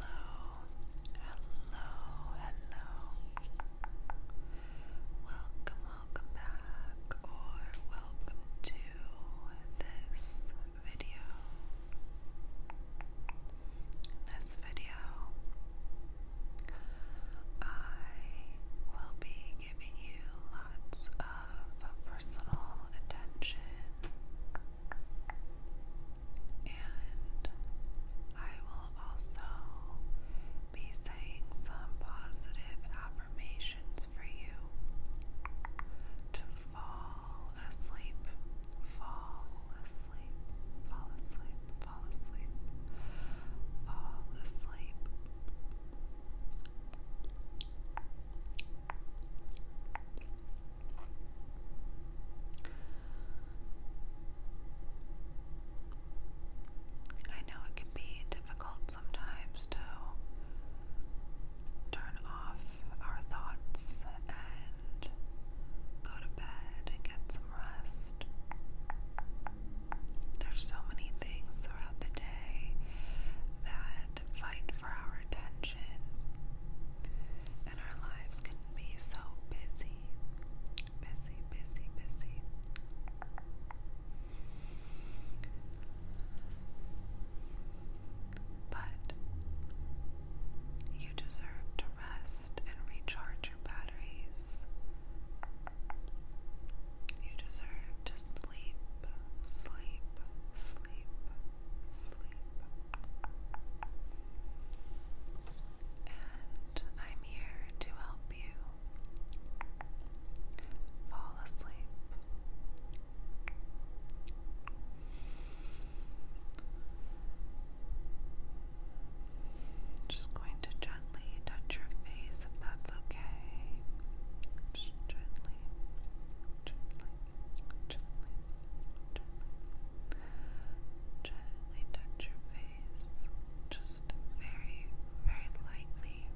Hello, hello, hello. Welcome, welcome back, or welcome to this video. this video, I will be giving you lots of personal attention, and I will also be saying some positive affirmations for you to fall asleep, fall asleep, fall asleep, fall asleep, fall asleep. Fall asleep. I know it can be difficult sometimes to turn off our thoughts and go to bed and get some rest. There's so many things throughout the day that fight for our attention and our lives can be so busy, busy, busy, busy. But you deserve to rest and recharge your batteries. You deserve to sleep, sleep, sleep, sleep. And I'm here to help you fall asleep. Just going to gently touch your face if that's okay. gently, gently. Gently, gently, touch your face, just very, very lightly.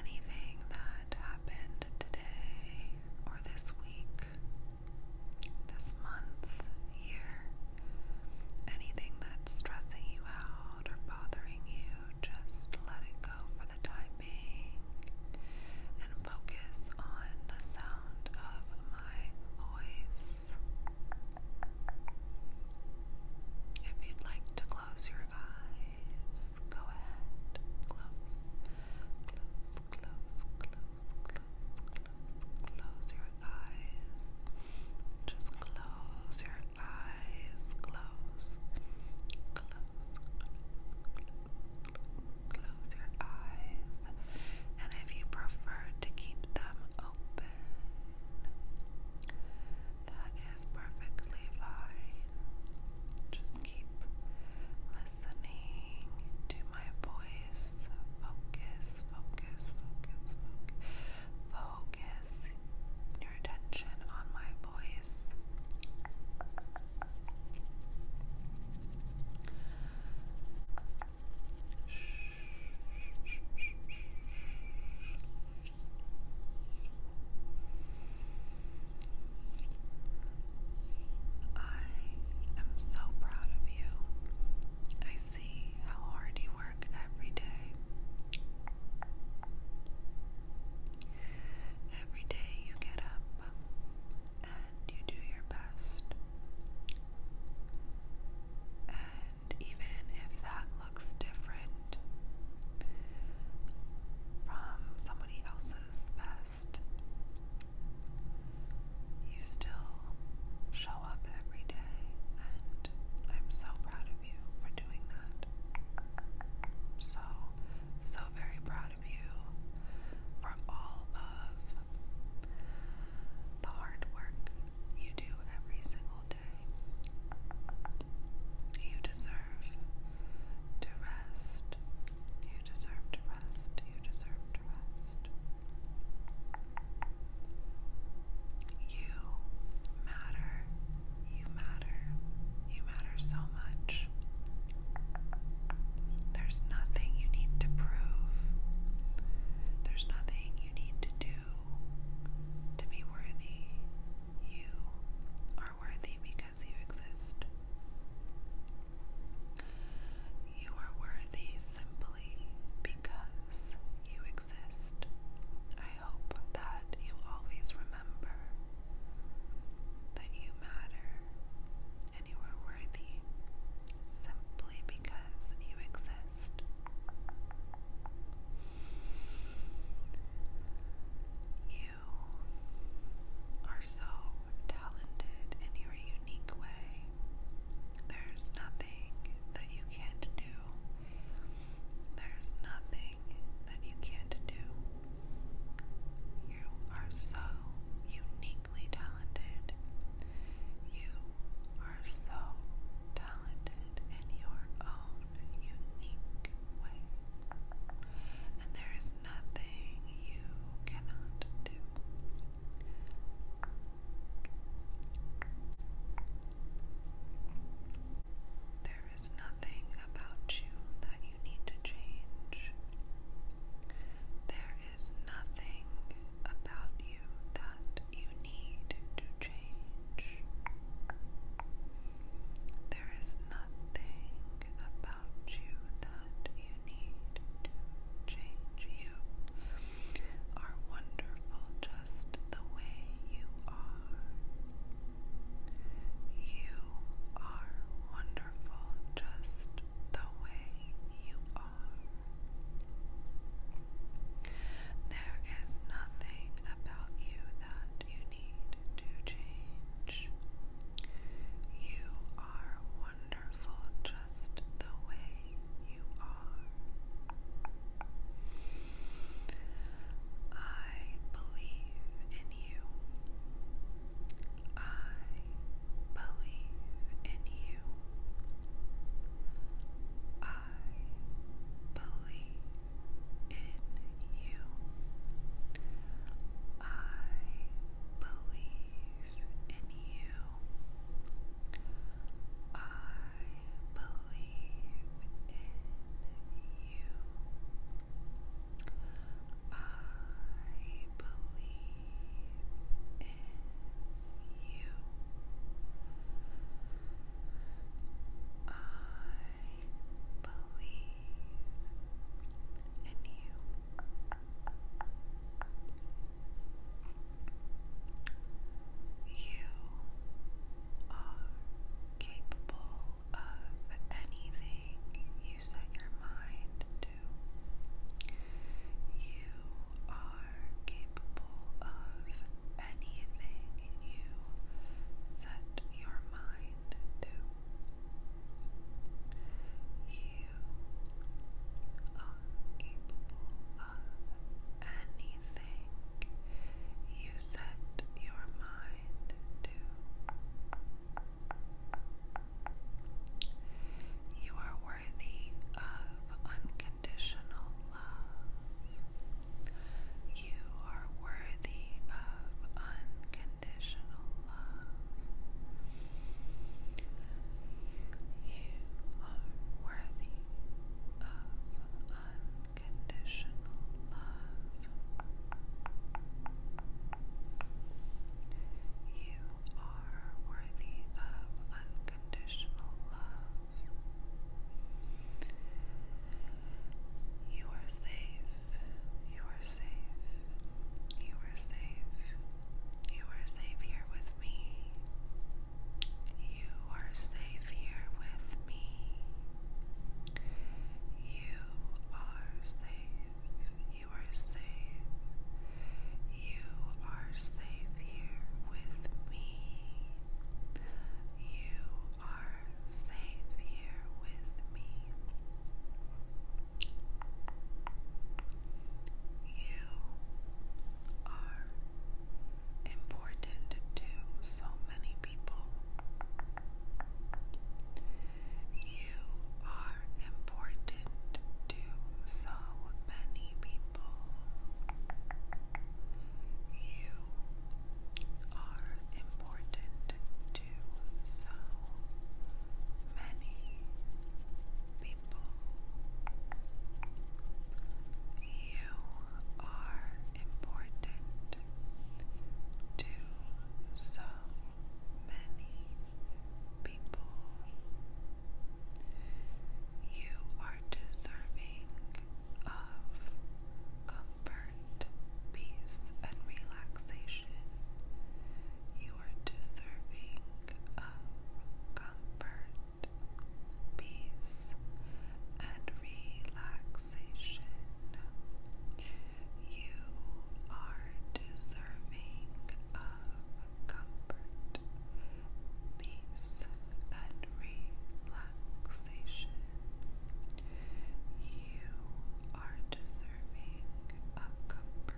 Anything that happened today or this week, this month, year, anything that's stressing you or bothering you, just let it go for the time being and focus on the sound of my voice. If you'd like to close your eyes, go ahead. Close, close, close, close, close, close, close your eyes. Just close your eyes. Close. Close. Close. Close, your eyes. And if you prefer to keep them open, that is perfectly fine. Just keep listening to my voice. Focus, focus, focus, focus. Focus your attention on my voice. I am so proud of you. I see how hard you work every day. Every day you get up and you do your best. And even if that looks different from somebody else's best, you still show show up every day, and I'm so proud of you for doing that. So, so very proud of you for all of the hard work you do every single day. You deserve to rest. You deserve to rest. You deserve to rest. You matter. You matter. You matter so much. There's nothing you need to prove. There's nothing you need to do to be worthy. You are worthy because you exist. You are worthy simply because you exist. I hope that you always remember that you matter and you are worthy simply because you exist. You are so talented in your unique way. There's nothing that you can't do. There's nothing that you can't do. You are so uniquely talented. You are so talented in your own unique way. And there is nothing you cannot do. There is nothing about you that you need to change. There is nothing about you that you need to change. There is nothing about you that you need to change. You are wonderful just the way you are. You are wonderful just the way you are. There is nothing about you that you need to change. You are wonderful just the way you are. I believe in you. I believe in you. I believe in you. I believe in you. I believe in you. I believe in you. I believe in you. You are capable of anything you set your mind to. You are capable of anything you set your mind to. You are capable of anything you set your mind to. You are worthy of unconditional love. You are worthy of unconditional you are worthy of unconditional love. You are worthy of unconditional love. You are safe. You are safe. You are safe. You are safe here with me. You are safe here with me. You are safe. You are safe. You are safe here with me. You are safe here with me. You are important to so many people. You are important to so many people. You are important to so many people. You are important to so many people. You are deserving of comfort, peace, and relaxation. You are deserving of comfort, peace, and relaxation. You are deserving of comfort, peace, and relaxation. You are deserving comfort,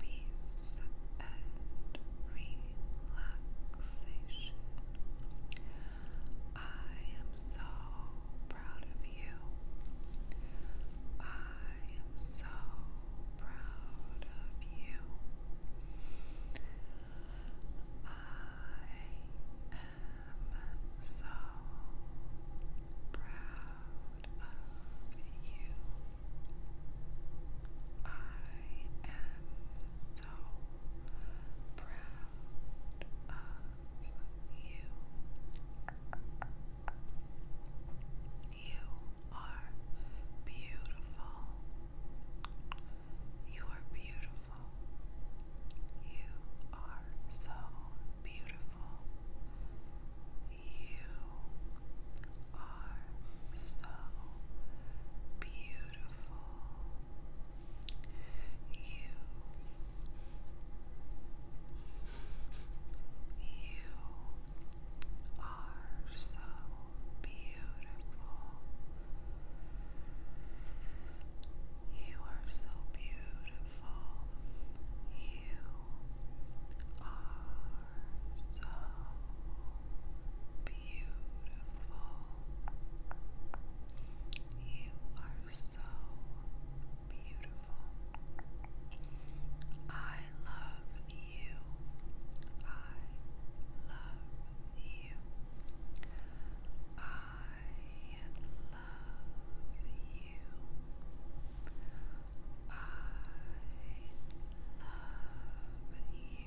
peace, and relaxation. I am so proud of you. I am so proud of you. I am so proud of you. I am so proud of you. You are beautiful. You are beautiful. You are so beautiful. You are so beautiful. You. You are so beautiful. You are so beautiful beautiful. You are so beautiful. You are so beautiful. I love you. I love you. I love, love, love you.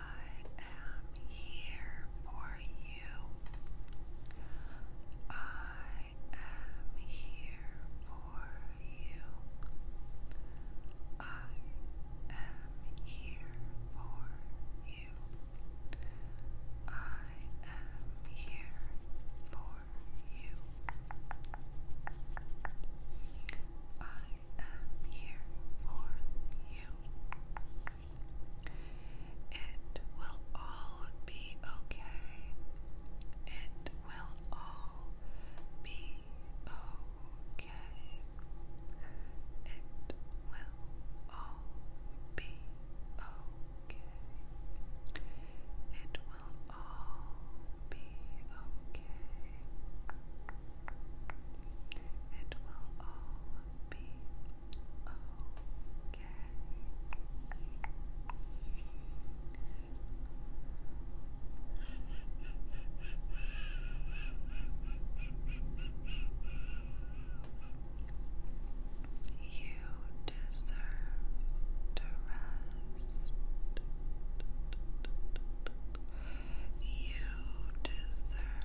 am here for you. I am here for you. I am here for you. I am here for you. I am here for you. It will all be okay. It will all be okay. It will all be okay. It will all be okay. It will all be You deserve to rest. You deserve